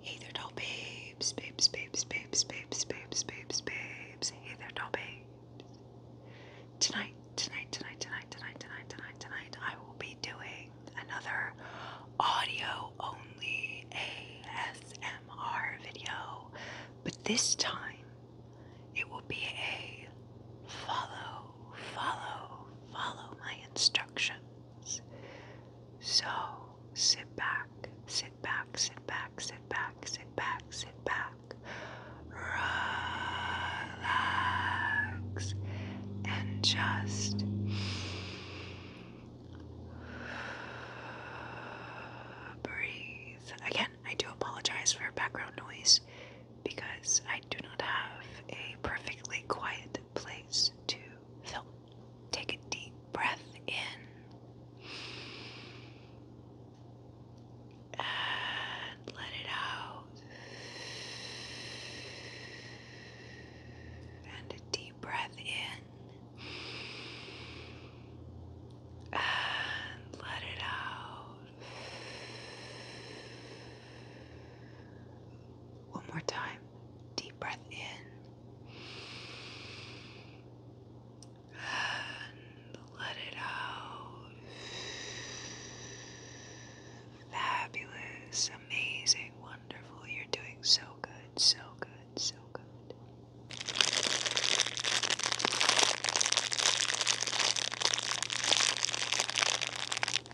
Hey there, doll babes, babes, babes, babes, babes, babes, babes, babes. Hey there, doll babes. Tonight, tonight, tonight, tonight, tonight, tonight, tonight, tonight, I will be doing another audio-only ASMR video, but this time it will be a follow, follow, follow my instructions. So sit back, sit back, sit back, sit back, sit back, sit back. Relax and just. Breathe. Again, I do apologize for background noise because I do not have a perfectly quiet place to film. Take a deep breath in and let it out, and a deep breath in and let it out. One more time. Deep breath in. And let it out. Fabulous, amazing, wonderful. You're doing so good, so good, so good.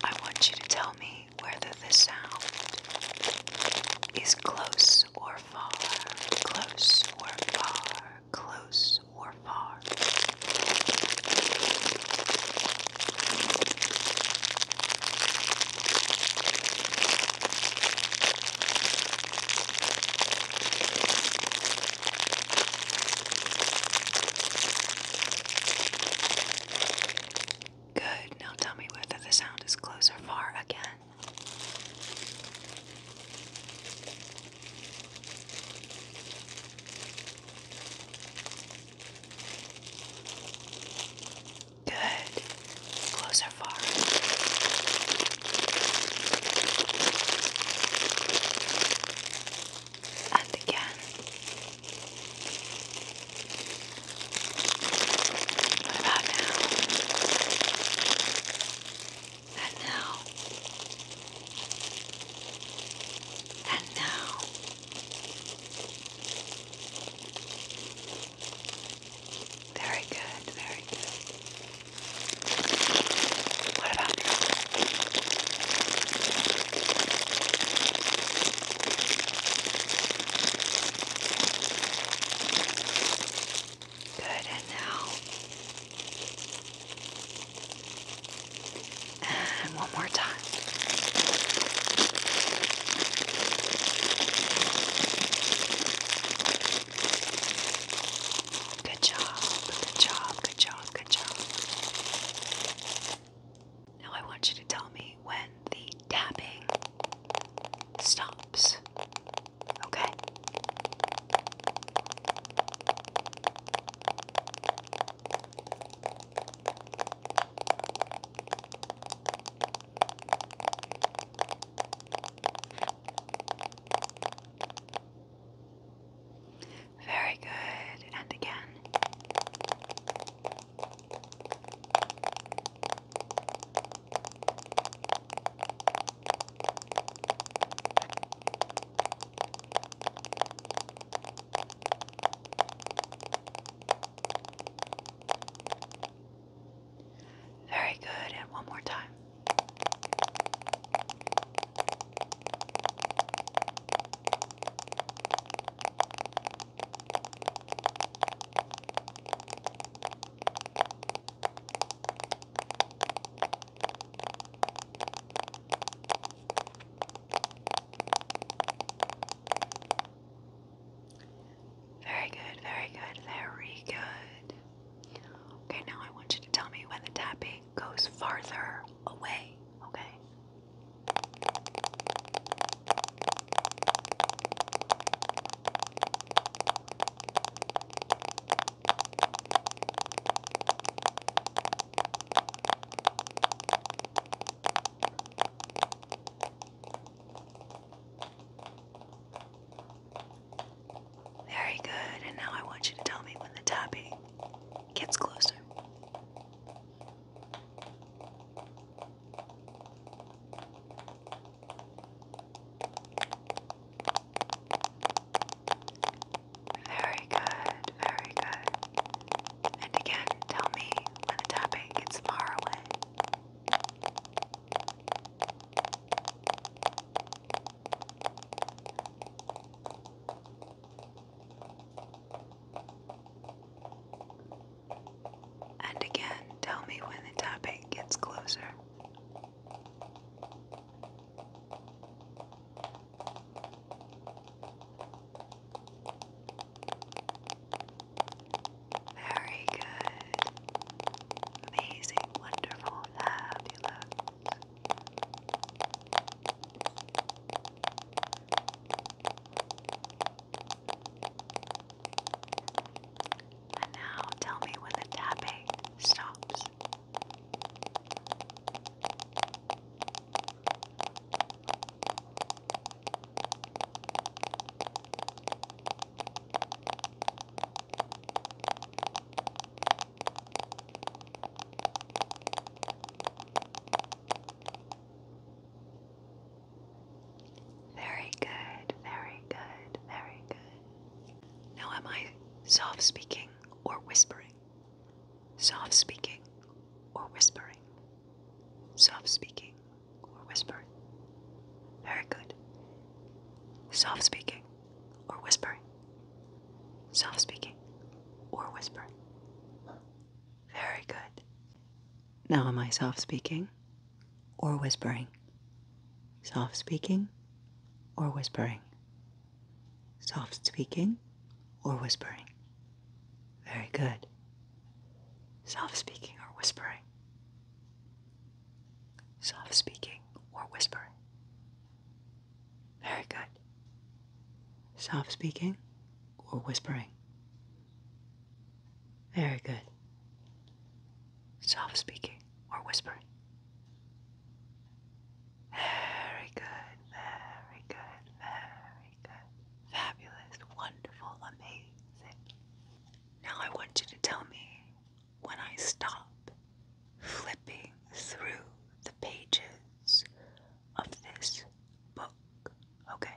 I want you to tell me whether the sound is close or far, close or far, close or far. Good. Now tell me whether the sound is close or far again. Good. Close far? And again. What about now? And now? And now? Very good, very good. What about now? Good, and now. And one more time. Good job, good job, good job, good job. Now I want you to tell me when the tapping stops. Okay? Very good, and again. Very good, and one more time. Very good, very good, very good. Okay, now I want you to tell me when the tapping goes farther away, okay? Very good, and now I want you to tell me when the tapping gets closer. Very good, very good. And again, tell me when the tapping gets far away. And again, tell me when the topic gets closer. Very good. Amazing, wonderful, fabulous. And now tell me when the tapping stops. Very good, very good, very good. Now, am I soft speaking or whispering? Soft speaking or whispering? Soft speaking or whispering? Very good. Soft speaking or whispering? Soft speaking or whispering? Very good. Now, am I soft speaking or whispering, soft speaking or whispering, soft speaking or whispering. Very good. Soft speaking or whispering. Soft speaking or whispering. Very good. Soft speaking or whispering. Very good. Soft speaking or whispering. Very good, very good, very good. Fabulous, wonderful, amazing. Now I want you to tell me when I stop flipping through the pages of this book. Okay.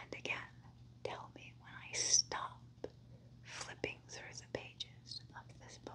and again tell me when I stop flipping through the pages of this book.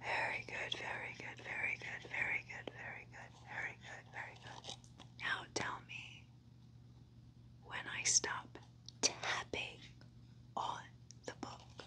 Very good, very good, very good, very good, very good, very good, very good. Now tell me when I stop tapping on the book.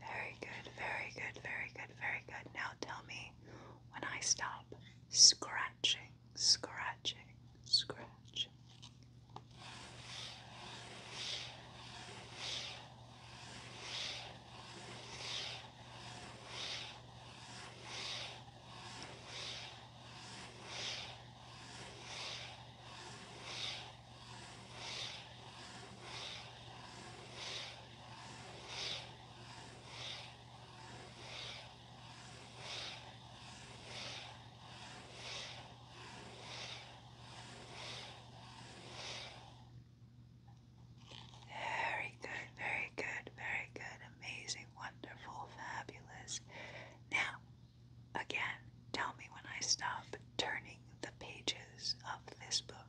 Very good, very good, very good, very good. Now tell me when I stop scratching, scratching, scratching. Very good, very good, very good, amazing, wonderful, fabulous. Now, again, tell me when I stop turning the pages of this book.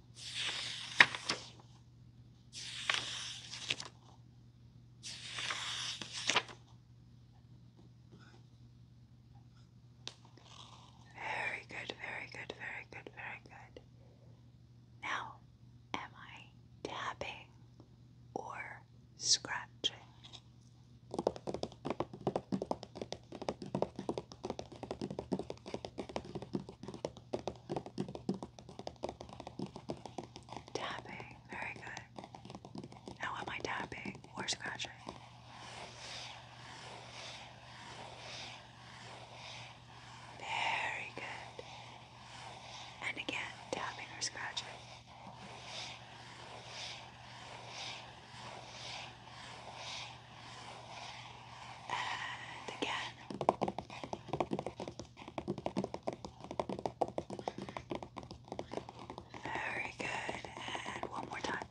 Very good, very good, very good, very good. Now, am I tapping or scratching? Tapping, very good. Now, am I tapping or scratching? Very good. And again, tapping or scratching. And again. Very good. And one more time.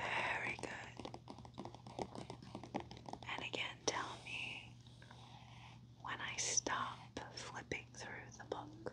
Very good. And again, tell me when I stop flipping through the book.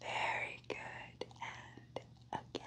Very good. And again.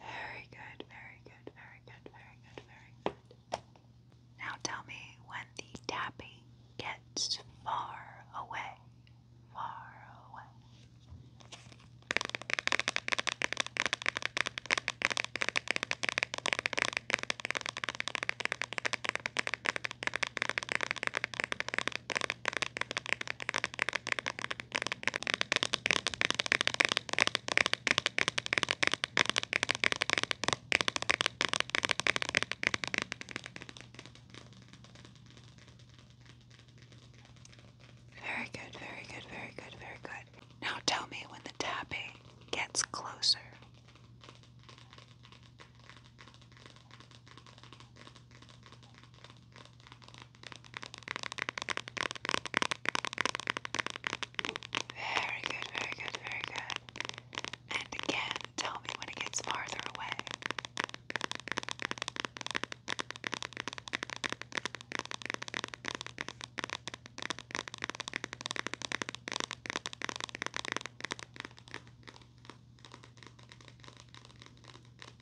Very good, very good, very good, very good, very good. Now tell me when the tapping gets far away. Far away. Very good, very good, very good, very good. Now tell me when the tapping gets closer. Very good, very good, very good. And again, tell me when it gets farther away.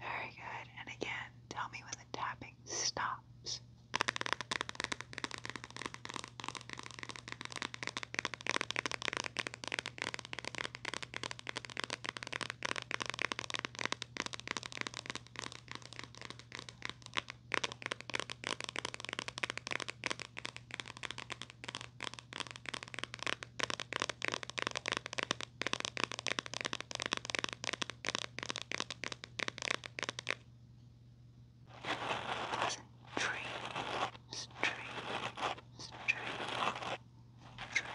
Very good. And again, tell me when the tapping stops. Stream, stream, stream, stream.